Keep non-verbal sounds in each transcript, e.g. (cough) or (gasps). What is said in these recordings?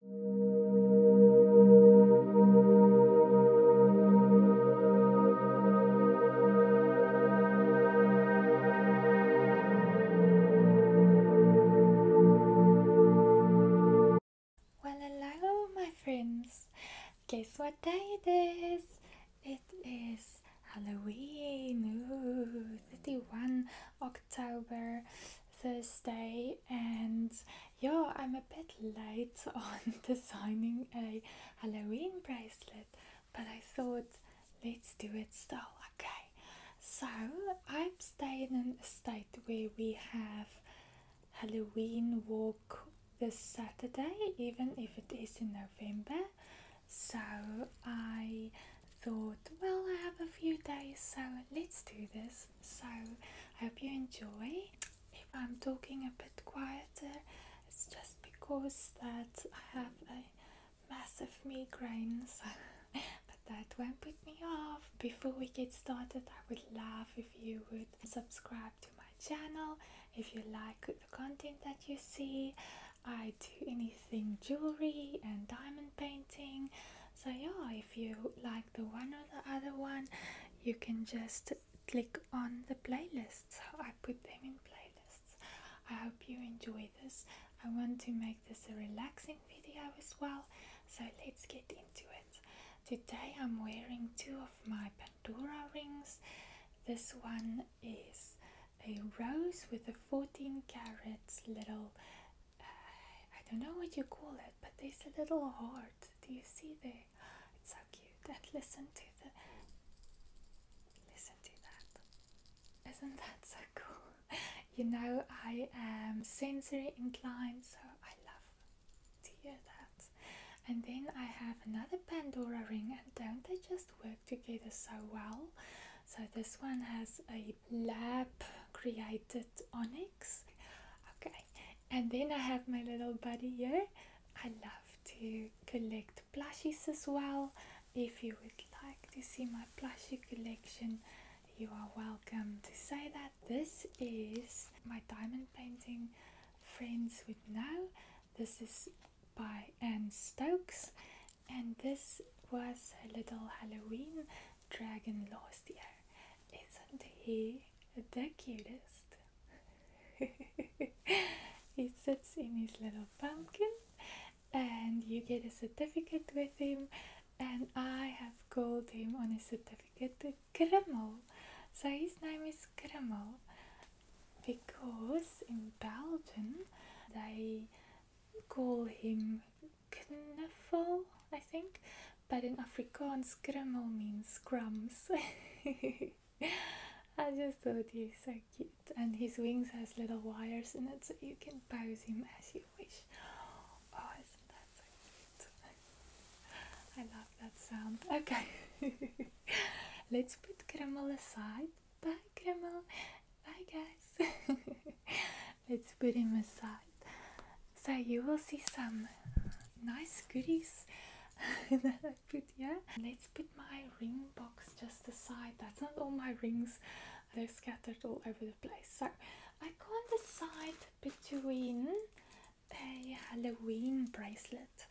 Well, hello, my friends. Guess what day it is? It is Halloween. Ooh, 31 October, Thursday, and yeah, I'm a bit late (laughs) on designing a Halloween bracelet, but I thought let's do it still, okay? So I'm staying in a state where we have Halloween walk this Saturday, even if it is in November. So I thought, well, I have a few days, so let's do this so I hope you enjoy. If I'm talking a bit quieter, it's just because that I have a massive migraine, (laughs) so but that won't put me off. Before we get started, I would love if you would subscribe to my channel if you like the content that you see. I do anything jewelry and diamond painting so yeah if you like the one or the other one you can just click on the playlists i put them in playlists i hope you enjoy this i want to make this a relaxing video as well so let's get into it today i'm wearing two of my pandora rings this one is a rose with a 14 carats little I don't know what you call it, but there's a little heart. Do you see the? It's so cute. And listen to the listen to that. Isn't that so cool? You know I am sensory inclined, so I love to hear that. And then I have another Pandora ring, and don't they just work together so well? So this one has a lab created onyx okay and then i have my little buddy here i love to collect plushies as well if you would like to see my plushie collection you are welcome to say that this is my diamond painting friends with know this is by Anne Stokes and this was a little Halloween dragon last year. Isn't he the cutest? (laughs) he sits in his little pumpkin, and you get a certificate with him. And I have called him on a certificate Kreml. So his name is Kreml because in Belgium they call him knuffle, I think, but in Afrikaans, krummel means crumbs. (laughs) I just thought he's so cute, and his wings has little wires in it, so you can pose him as you wish. Oh, isn't that so cute? (laughs) I love that sound. Okay, (laughs) let's put Kreml aside. Bye, Kreml. Bye, guys let's put him aside. So you will see some nice goodies (laughs) that I put here. Let's put my ring box just aside. That's not all my rings. They're scattered all over the place. So I can't decide between a Halloween bracelet.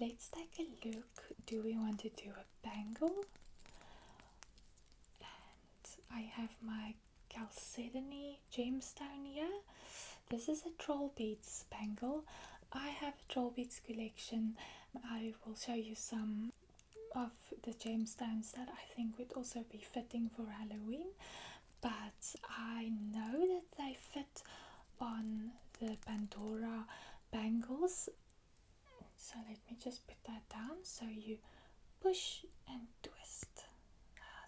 Let's take a look. Do we want to do a bangle? I have my Chalcedony Jamestonia. This is a troll beads bangle. I have a troll beads collection. I will show you some of the gemstones that I think would also be fitting for Halloween, but I know that they fit on the Pandora bangles. So let me just put that down so you push and twist. Ah,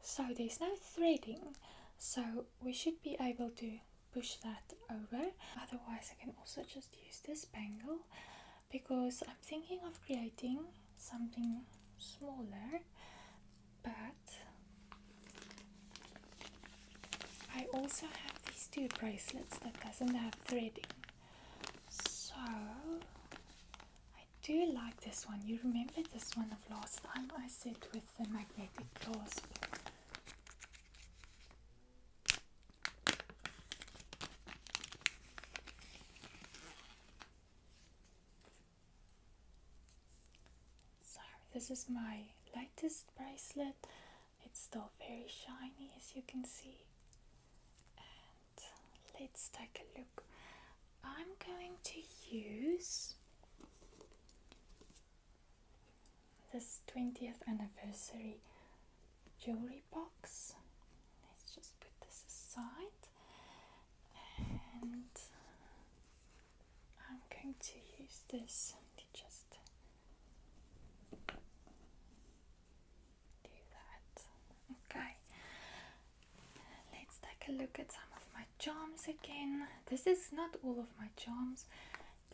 so. there's no threading so we should be able to push that over otherwise I can also just use this bangle because I'm thinking of creating something smaller but I also have these two bracelets that doesn't have threading so do you like this one. You remember this one of last time I said with the magnetic clasp. So this is my lightest bracelet. It's still very shiny as you can see let's take a look. I'm going to use this 20th anniversary jewelry box. Let's just put this aside and I'm going to use this just do that. Okay, let's take a look at some of my charms again. This is not all of my charms,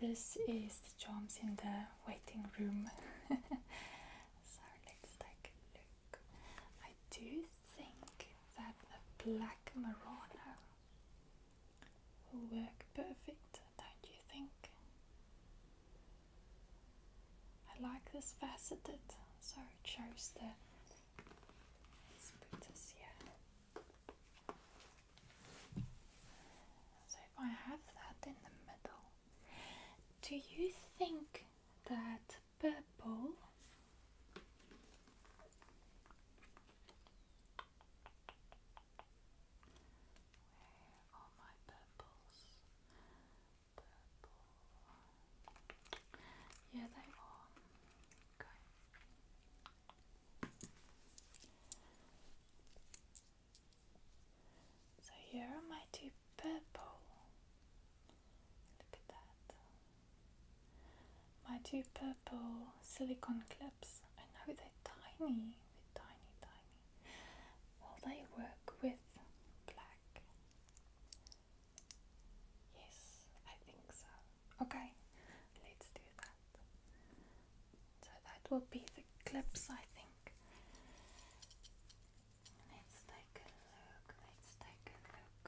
this is the charms in the waiting room. (laughs) so let's take a look. I do think that the black Murano will work perfect, don't you think? I like this faceted, so it shows the. So if I have that in the middle, do you think that purple? Yeah, they are. So here are my two purple. Look at that. My two purple silicone clips. I know they're tiny. They're tiny, tiny. Well, they work with black. Yes, I think so. Okay, let's do that. So that will be the clips, I think. Let's take a look. Let's take a look.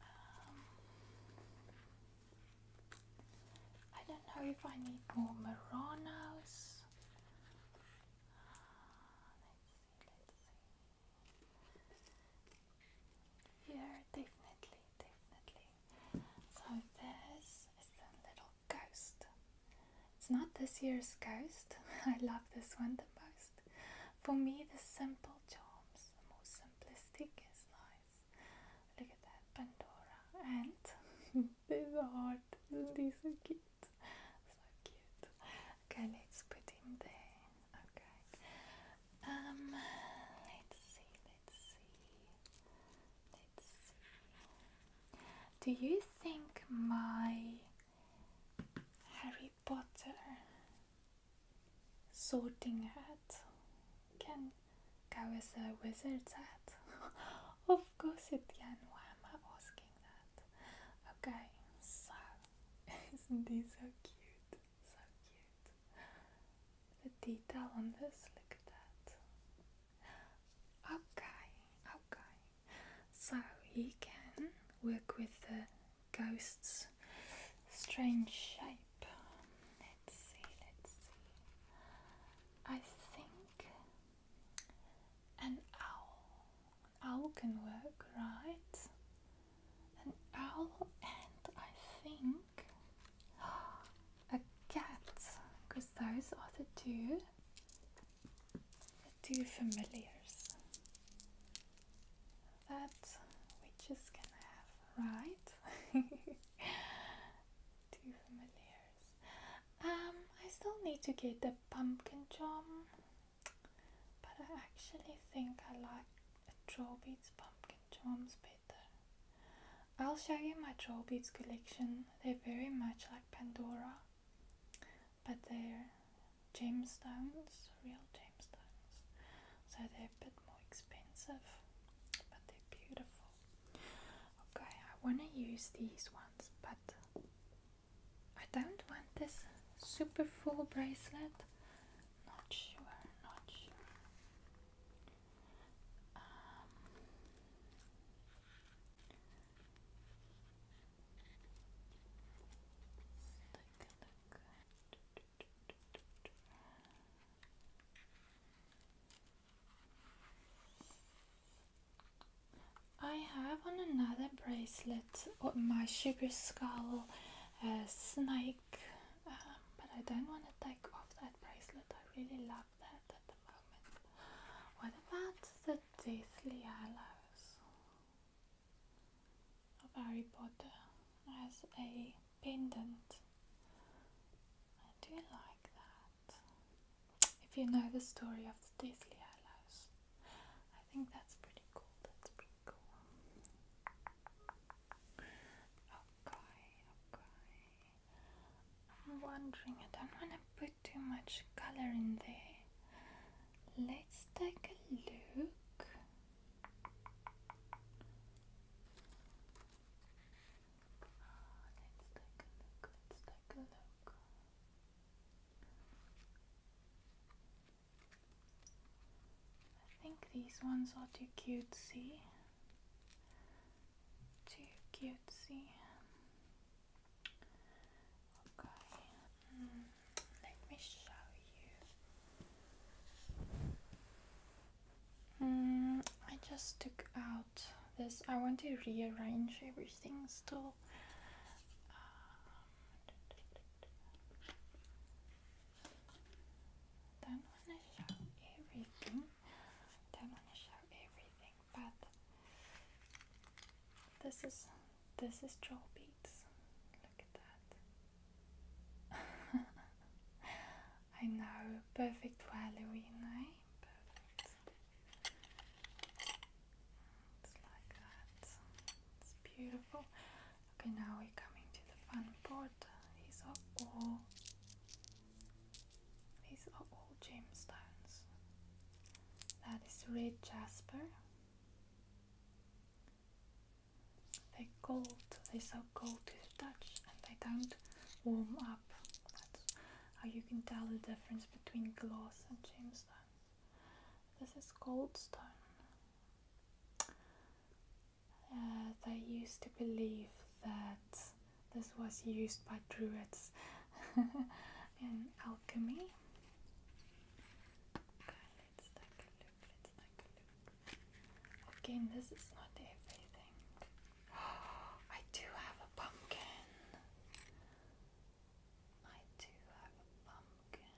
Um, I don't know if I need more Muranos. Uh, yeah, definitely, definitely. So this is the little ghost. It's not this year's ghost. (laughs) I love this one the most. For me, the simple charms, the most simplistic is nice. Look at that, Pandora. And (laughs) there's a heart. Isn't he cute? cute. So cute. Okay, let's put him there. Okay. Um let's see, let's see. Let's see. Do you think my Harry Potter sorting hat can go as a wizard's hat? (laughs) of course it Why am I asking that? Okay, so (laughs) isn't this so cute? So cute. The detail on this, look at that. Okay, okay. So he can work with the ghost's strange shape. Let's see, let's see. I think an owl. owl can work, right? An owl and I think (gasps) a cat, because those are the two the two familiars that we just gonna have, right? (laughs) two familiars. Um, I still need to get the pumpkin charm but I actually think I like a beads pumpkin drums better. I'll show you my draw beads collection. They're very much like Pandora, but they're gemstones, real gemstones, so they're a bit more expensive, but they're beautiful. Okay, I want to use these ones, but I don't want this super full bracelet. Not sure, not sure. Um, I have on another bracelet my sugar skull uh, snake, um, but I don't want to take off that bracelet. I really love that at the moment. What about the Deathly Hallows of Harry Potter as a pendant? I do like that if you know the story of the Deathly Hallows. I think that's pretty cool. That's pretty cool. Okay, okay. I'm wondering, I don't want to put too much color in there. Let's take a look. Ah, let's take a look, let's take a look. I think these ones are too cutesy. Too cutesy. Okay, mm, let me show you. Mm, I just took out this. I want to rearrange everything still well. Um, show everything. Don't show everything, but this is this is troll beats. Look at that. (laughs) I know, perfect for Halloween, eh? Perfect. It's like that. It's beautiful. Okay, now we're coming to the fun part. These are all these are all gemstones. That is red jasper. They're gold, they're so gold to the touch and they don't warm up. That's how you can tell the difference between glass and gemstone. This is goldstone. Uh, they used to believe that this was used by druids (laughs) in alchemy. Okay, let's take a look. Let's a look. Again, this is not everything. (gasps) I do have a pumpkin. I do have a pumpkin.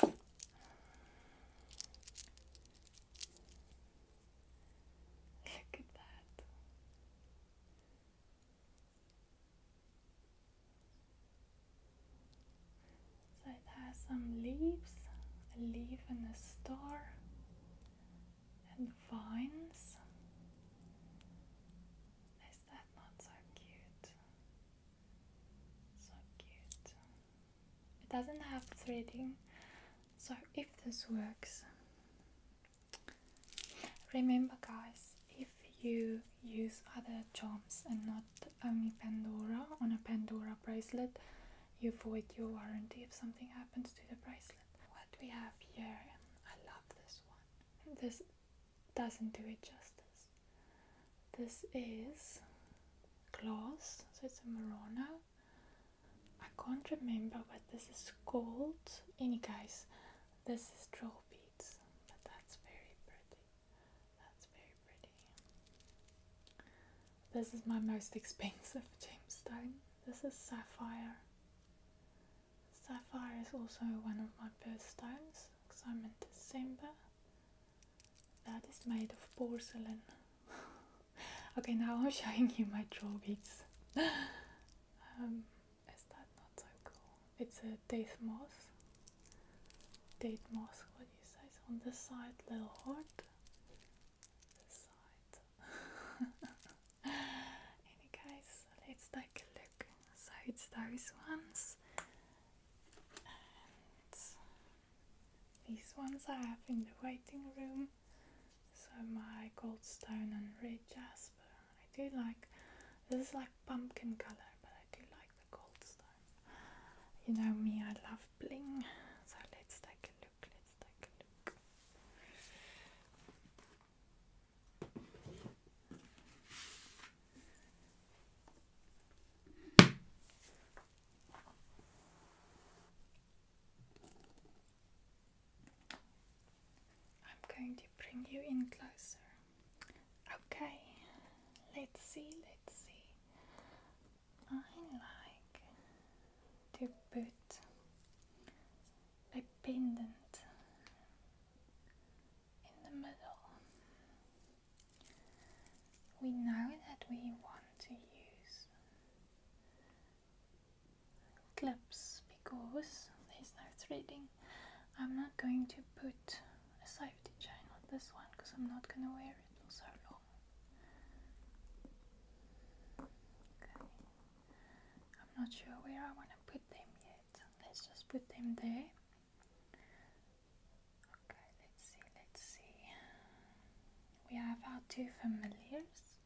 (laughs) Look at that. So it has some leaves, a leaf and a star, and vines. Is that not so cute? So cute. It doesn't have threading, so if this works, remember, guys, if you use other charms and not only Pandora on a Pandora bracelet, you void your warranty if something happens to the bracelet. What we have here, and I love this one. This doesn't do it justice. This is glass, so it's a Murano. I can't remember what this is called. Any case, this is drop beads, but that's very pretty. That's very pretty. This is my most expensive gemstone. This is sapphire. Sapphire is also one of my birthstones because I'm in December. That is made of porcelain. (laughs) okay, now I'm showing you my draw beads. (laughs) um, is that not so cool? It's a date moss. Date moss, what do you say? So on the side, little heart. Any case, let's take a look. So it's those ones, these ones I have in the waiting room. So my gold stone and red jasper. I do like this is like pumpkin color, but I do like the You know me, I love bling. So let's take a look. Let's take a look. I'm going to bring you in closer. Okay, let's see, let's see. I like to put a pendant in the middle. We know that we want to use clips because there's no threading. I'm not going to put a safety chain on this one because I'm not going to wear it for so long. I'm not sure where I want to put them yet. Let's just put them there. Okay, let's see, let's see. We have our two familiars.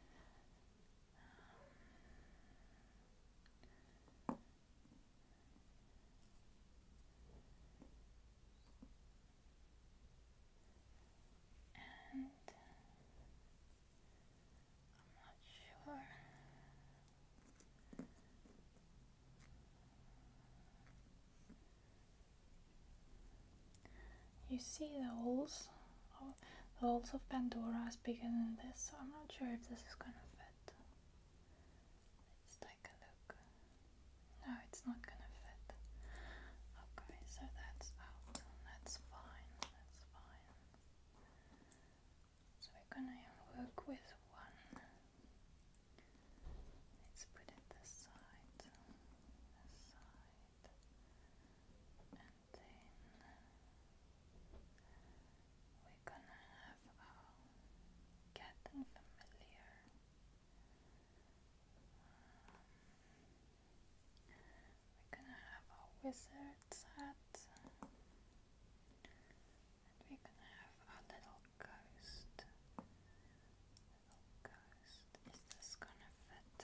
I'm not sure. You see the holes, oh, the holes of Pandora is bigger than this, so I'm not sure if this is gonna fit. Let's take a look. No, it's not gonna fit. Okay, so that's out. That's fine. That's fine. So we're gonna work with one. Let's put it this side, and then we're gonna have our cat familiar. We're gonna have our wizard's hat, we're gonna have our little ghost. Little ghost. Is this gonna fit?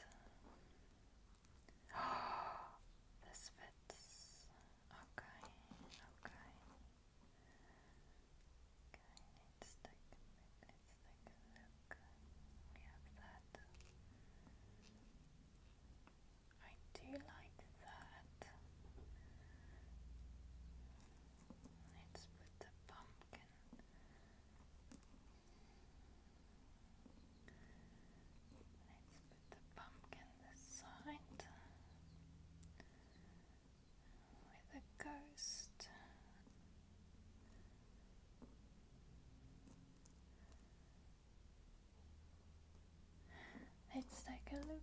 Oh, (gasps) this fits. Okay, okay. Okay, I I do like that. Let's put the pumpkin. Let's put the pumpkin this side with a ghost. Let's take a look.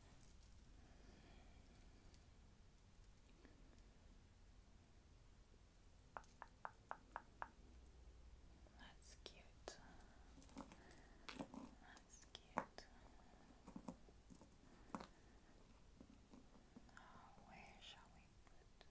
That's cute. That's cute. Oh, where shall we put?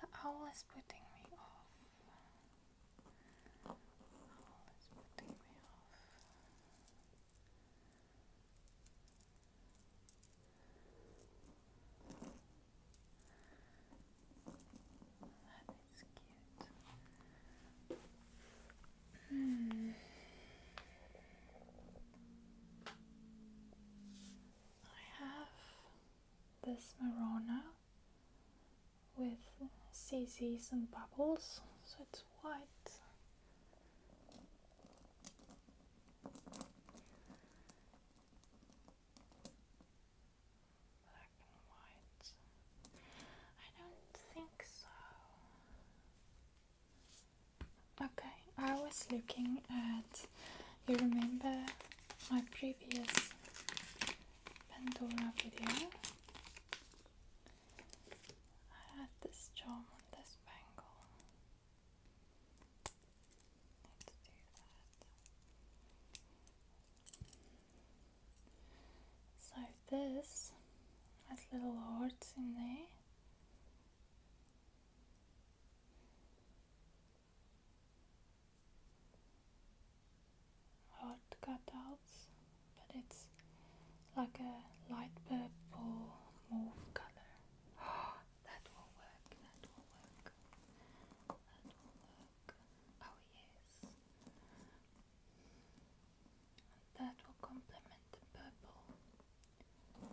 The owl is putting me off. That is cute. Hmm. I have this Marona with CCs and bubbles, so it's white. Black and white. I don't think so. Okay, I was looking at you remember my previous Pandora video? I had this charm on this bangle. Need to do that. So this has little hearts in there. Hot cutouts, but it's like a light purple mauve color. (gasps) that will work, that will work, that will work. Oh, yes. And that will complement the purple. Okay.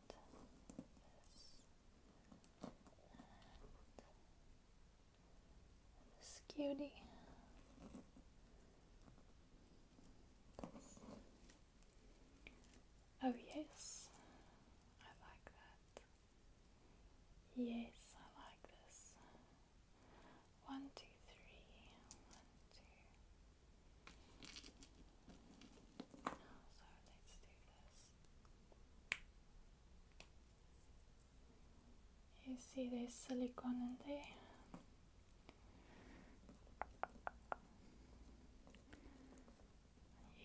and Oh yes, I like that. Yes, I like this. One, two, three. One, two, you see there's silicone in there.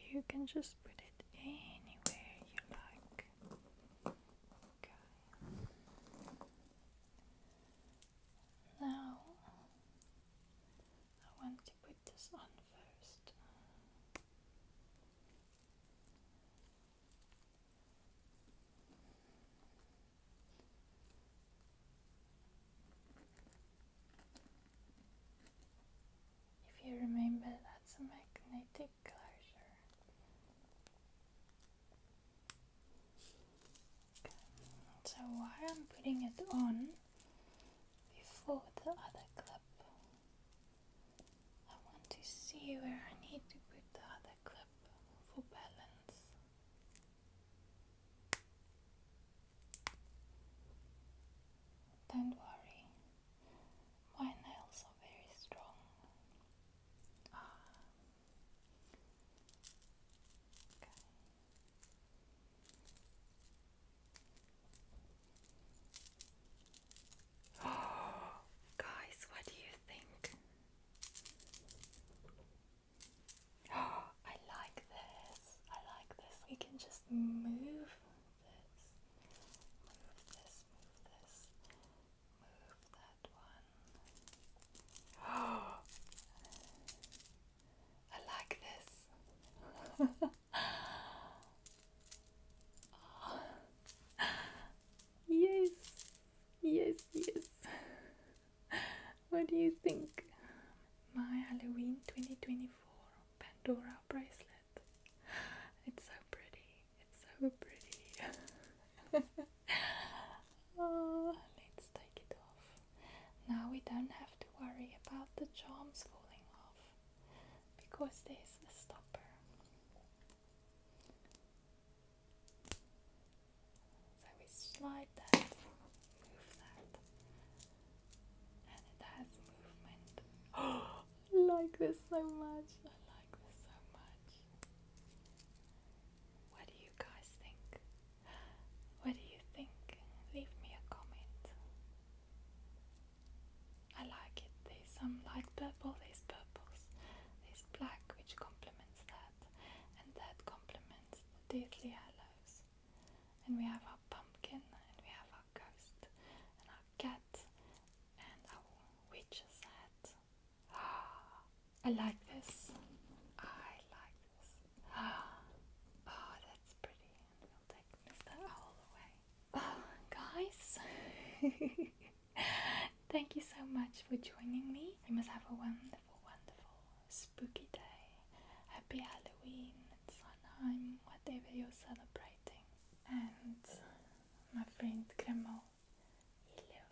You can just put it anywhere you like. Okay. Now I want to this on first. If you remember, that's a magnetic closure. So while I'm putting it on, before the other clip, I want to see where I need to put the other club for balance. Don't worry, my nails are very strong. Ah. (gasps) guys, what do you think? (gasps) I like this. I like this. We can just move this, move this, move this, move that one. (gasps) I like this. (laughs) Yes, yes, yes. What do you think? My Halloween 2024 Pandora bracelet. It's so pretty. It's so pretty. (laughs) Oh, let's take it off. Now we don't have to worry about the charms falling off because there's a stopper. So we slide that, move that, and it has movement. (gasps) I like this so much. I like this so much. What do you guys think? What do you think? Leave me a comment. I like it. There's some light purple, there's purples, there's black which complements that, and that complements the deadly aloes. And we have our pumpkin, and we have our ghost, and our cat, and our witch's hat. Ah, (gasps) I like this. I like this. Ah, (gasps) oh, that's pretty. Oh, guys, (laughs) thank you so much for joining me. You must have a wonderful, wonderful, spooky day. Happy Halloween at whatever you're celebrating. And my friend Grandma, hello.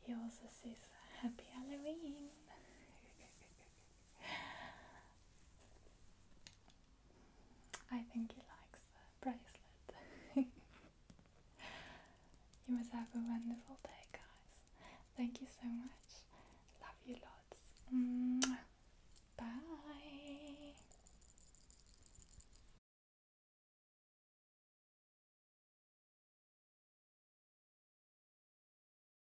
He also says, Happy Halloween. (laughs) I think he likes the bracelet. (laughs) you must have a wonderful day, guys. Thank you so much. Love you lots. Bye.